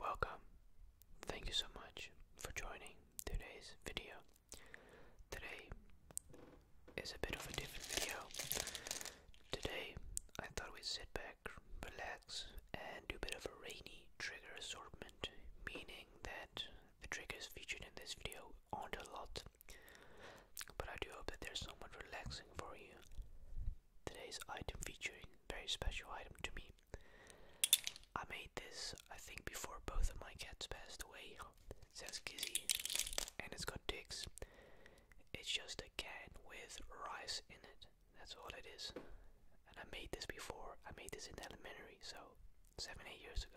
Welcome. Thank you so much for joining today's video. Today is a bit of a different video. Today I thought we'd sit back, relax, and do a bit of a rainy trigger assortment, meaning that the triggers featured in this video aren't a lot, but I do hope that there's are somewhat relaxing for you. Today's item featuring very special item to me. I made this, I think, before both of my cats passed away says Gizzy, and it's got dicks. It's just a can with rice in it. That's all it is. And I made this before. I made this in elementary, so seven, eight years ago.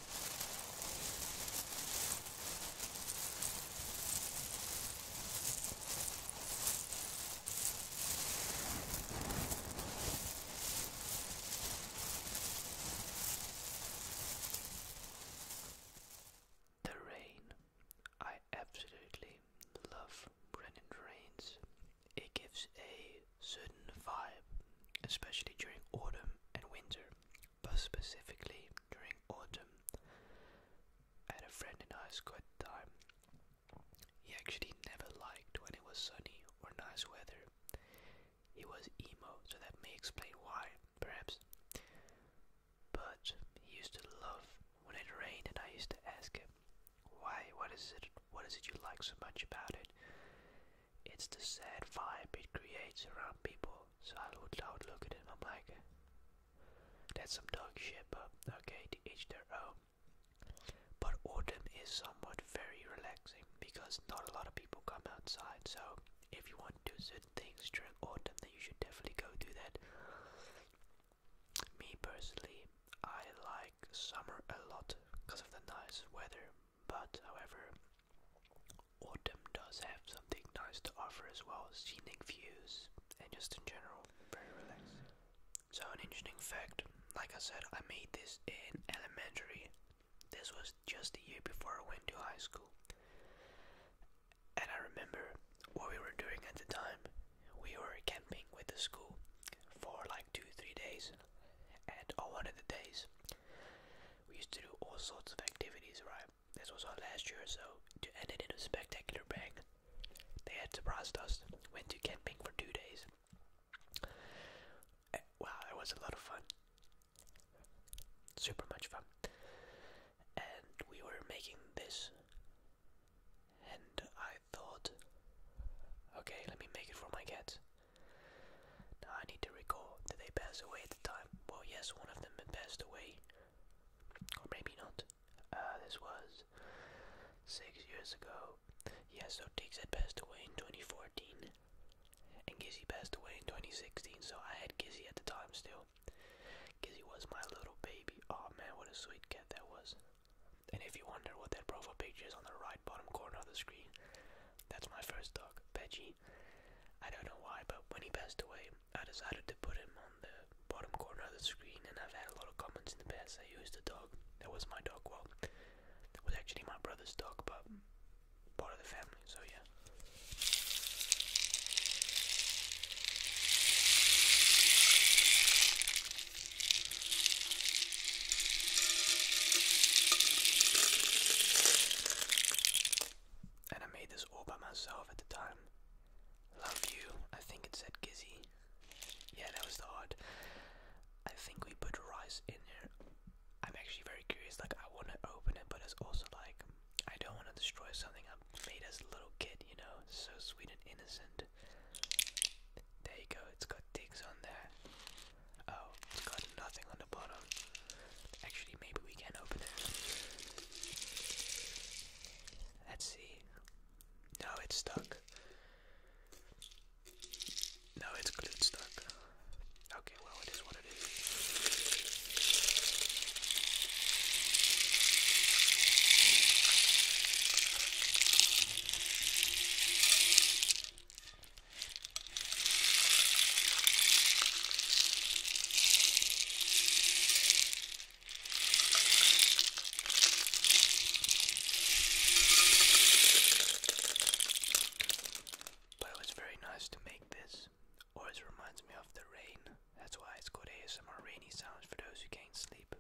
The rain. I absolutely love Brennan Rains. It gives a certain vibe, especially during autumn and winter but specifically during autumn, I had a friend and I had a good time. He actually never liked when it was sunny or nice weather. He was emo, so that may explain why, perhaps. But he used to love when it rained, and I used to ask him, "Why? What is it? What is it you like so much about it?" it's the sad vibe it creates around people. So I would, I would look at it and I'm like, that's some dog shit, but okay, to each their own. But autumn is somewhat very relaxing because not a lot of people come outside. So if you want to do certain things during autumn, then you should definitely go do that. Me personally, I like summer a lot because of the nice weather. But, however, autumn does have something nice to offer as well scenic views and just in general, very relaxing. So, an interesting fact like I said, I made this in elementary. This was just a year before I went to high school. And I remember what we were doing at the time. We were camping with the school for like two, three days. And on oh, one of the days, we used to do all sorts of activities, right? This was our last year or so. To end it in a spectacular bang, they had surprised us. Went to camping for two days. Eh, wow, that was a lot of fun. Super much fun. And we were making this, and I thought, okay, let me make it for my cat. Now I need to recall, did they pass away at the time? Well, yes, one of them had passed away. Or maybe not. Uh, this was six years ago. Yes, so Diggs had passed away in 2014. And Gizzy passed away in 2016, so I had Gizzy at the time still. Gizzy was my little baby. Oh man, what a sweet cat that was. And if you wonder what that profile picture is on the right bottom corner of the screen, that's my first dog, Veggie me. I don't know why, but when he passed away, I decided to put him on the bottom corner of the screen, and I've had a lot of comments in the past say, who's the dog? That was my dog. Well, that was actually my brother's dog, but part of the family, so yeah. And I made this all by myself at the time. Love you. I think it said Gizzy. Yeah, that was the heart. I think we put rice in there. I'm actually very curious. Like, I want to open it, but it's also like, I don't want to destroy something I made as a little kid, you know? So sweet and innocent. There you go. It's got digs on there. Oh, it's got nothing on the bottom. Actually, maybe we can open it. Let's see. No, it's stuck. No, it's glued stuck. Okay, well, it is what it is. But it very nice to make this. Always reminds me of the rain. That's why it's called ASMR Rainy Sounds for those who can't sleep.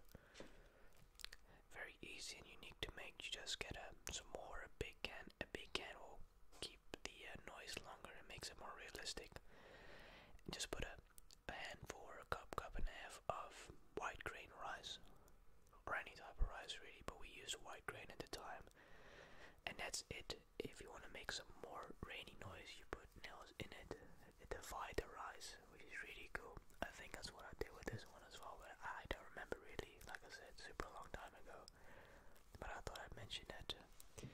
Very easy and unique to make. You just get a, some more, a big can, a big can keep the uh, noise longer it makes it more realistic just put a, handful or a cup cup and a half of white grain rice or any type of rice really but we use white grain at the time and that's it if you want to make some more rainy noise you put nails in it it divides the rice which is really cool i think that's what i did with this one as well but i don't remember really like i said super long time ago but I thought I'd mention that uh,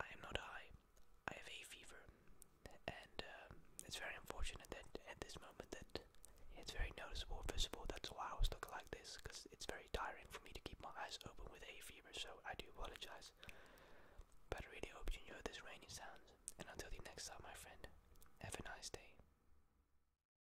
I am not high. I have a fever, and uh, it's very unfortunate that at this moment that it's very noticeable, visible. That's why I was looking like this, because it's very tiring for me to keep my eyes open with a fever. So I do apologize, but I really hope you enjoy this rainy sounds. And until the next time, my friend, have a nice day.